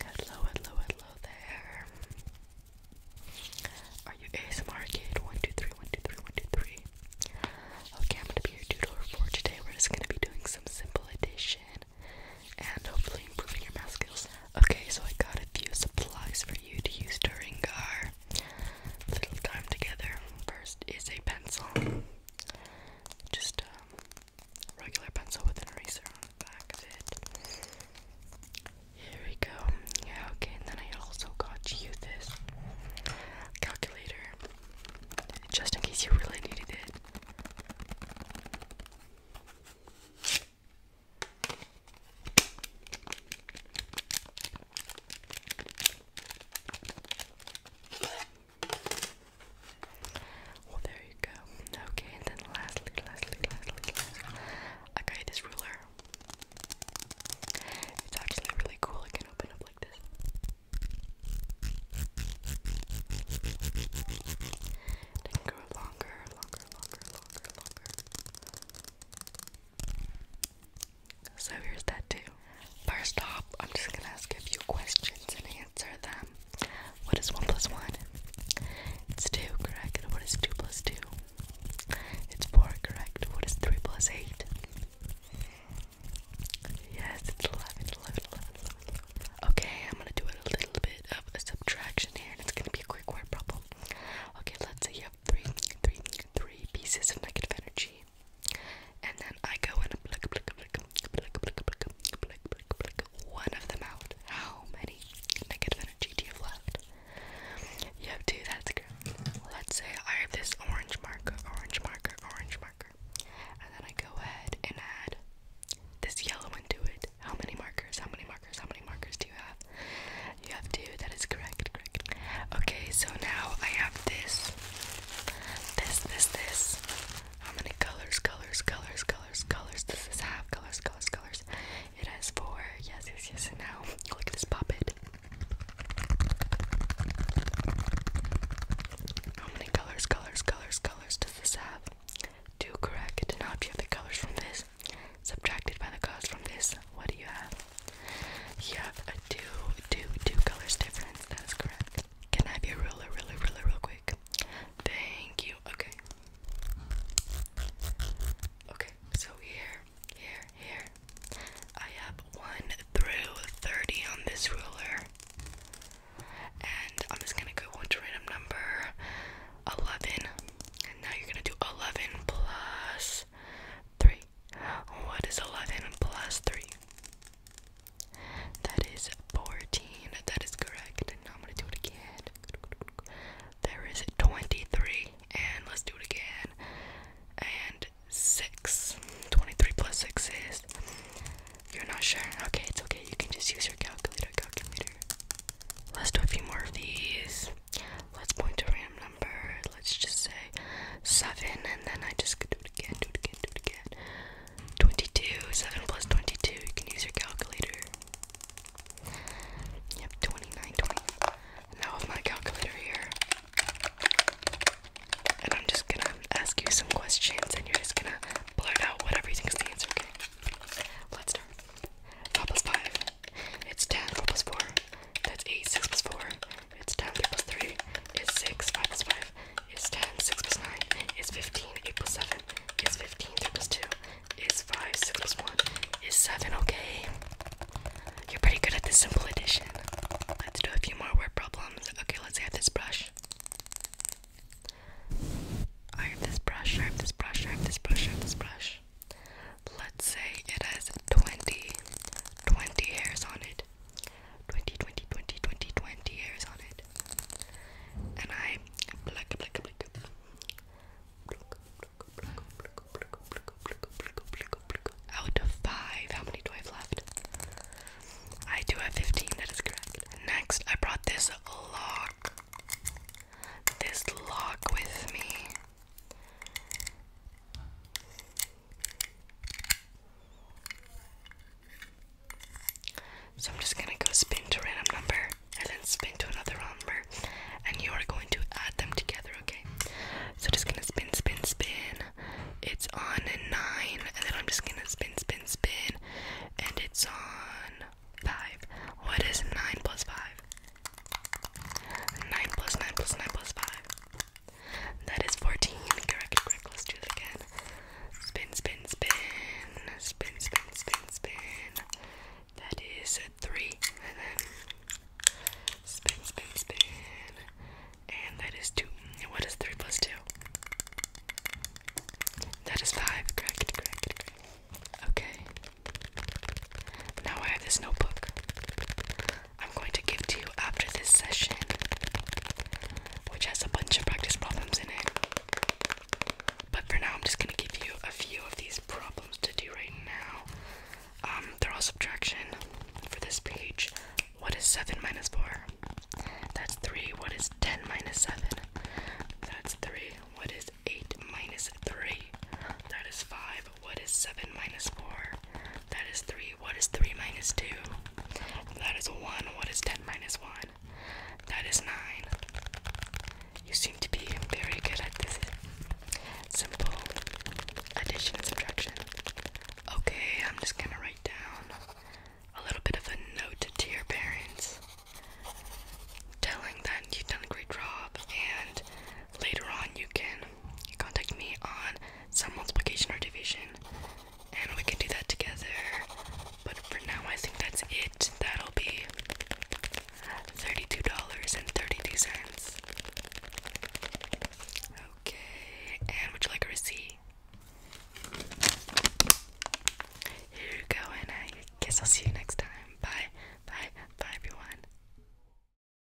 Hello, hello, hello there. Are you ASMR kid? One, two, three, one, two, three, one, two, three. Okay, I'm gonna be your tutor for today. We're just gonna be doing some simple addition and hopefully improving your math skills. Okay, so I got a few supplies for you to use during our little time together. First is a pencil. Just um, regular pencil with an eraser on the back of it. Here we go. okay, and then I also got you this calculator just in case you really needed it. Well, there you go. Okay, and then lastly, lastly, lastly, lastly, I got this ruler. It's actually really cool. It can open up like this. it can go longer, longer, longer, longer, longer. So here's that too. First off, I'm just gonna ask a few questions and answer them. What is 1 plus 1? It's 2, correct? What is 2 plus 2? It's 4, correct? What is 3 plus 8? Yes, it's 11, 11, Okay, I'm gonna do a little bit of subtraction here, it's gonna be a quick word problem. Okay, let's say you have three, three, three pieces of negative energy, and then I go and pluck, pluck, pluck, pluck, pluck, pluck, pluck, pluck, one of them out. How many negative energy do you have left? You have two, that's good. Let's say I have this orange marker, orange marker, orange marker. And then I go ahead and add this yellow into it. How many markers? How many markers? How many markers do you have? You have two, that is correct, correct. Okay, so now I have this, this, this, this, how many colors, colors, colors, colors, colors does this have? Colors, colors, colors. It has four. Yes, yes, yes, and look at this puppet. How many colors, colors, colors, colors does this have? Two correct. Now if you have the colors from this, subtracted by the colors from this, what do you have? You have a Two colors different. That is correct. Can I be really, really, really, real quick? Thank you. Okay. Okay, so here, here, here. I have 1 through 30 on this ruler. And I'm just gonna go into random number 11. And now you're gonna do 11 plus 3. What is 11 plus 3? That is 14. That is correct. And now I'm gonna do it again. There is 23. And let's do it again. And 6. 23 plus 6 is. You're not sure? Okay, it's okay. You can just use your calculator. Calculator. Let's do a few more of these. Let's point to a random number. Let's just say 7. And then I just do it again. Do it again. Do it again. 22, 7 plus 22, you can use your calculator. Yep, 29, 20. Now with my calculator here. And I'm just gonna ask you some questions and you're just gonna blurt out whatever you think the answer, okay? Let's start. 5 plus 5. It's 10, 4 plus 4. That's 8, 6 plus 4. It's 10 plus 3 is 6, 5 plus 5 is 10, 6 plus 9 is 15, 8 plus 7 is 15, 3 plus 2 is 5, 6 plus 1 is 7, okay? You're pretty good at this simple addition. Let's do a few more word problems. Okay, let's say have this brush. I have this brush, I have this brush, I have this brush, I have this brush. Let's say it has 20, 20 hairs on it. 20, 20, 20, 20, 20 hairs on it. And I pluck, pluck, pluck, pluck. Out of five, how many do I have left? I do have 15, that is correct. Next, I brought this lock. This lock with me. So I'm just gonna go spin to random number and then spin to another random number and you are going to add them together, okay? So just gonna spin, spin, spin. It's on nine and then I'm just gonna spin, spin, spin and it's on five. What is nine plus five? Nine plus nine plus nine plus five. That is 14. Correct, correct. Let's do it again. Spin, spin, spin. Spin, spin, spin, spin. That is three. And then spin, spin, spin. And that is two. what is three plus two? That is five. Correct, correct, correct. Okay. Now I have this notebook. I'm going to give to you after this session, which has a bunch of practice problems in it. But for now, I'm just going to give you a few of these problems to do right now. Um, they're all subtraction for this page. What is 7 minus 4? That's 3. What is 10 minus 7? That's 3. What is 8 minus 3? That is 5 what is 7 minus 4? That is 3. What is 3 minus 2? That is 1. What is 10 minus 1? That is 9. You seem to be very good at this simple addition and subtraction. Okay, I'm just gonna write down a little bit of a note to your parents telling them you've done a great job and later on you can contact me on some multiplication or division, and we can do that together. But for now, I think that's it. That'll be $32.32. Okay, and would you like a Here you go, and I guess I'll see you next time. Bye, bye, bye, everyone.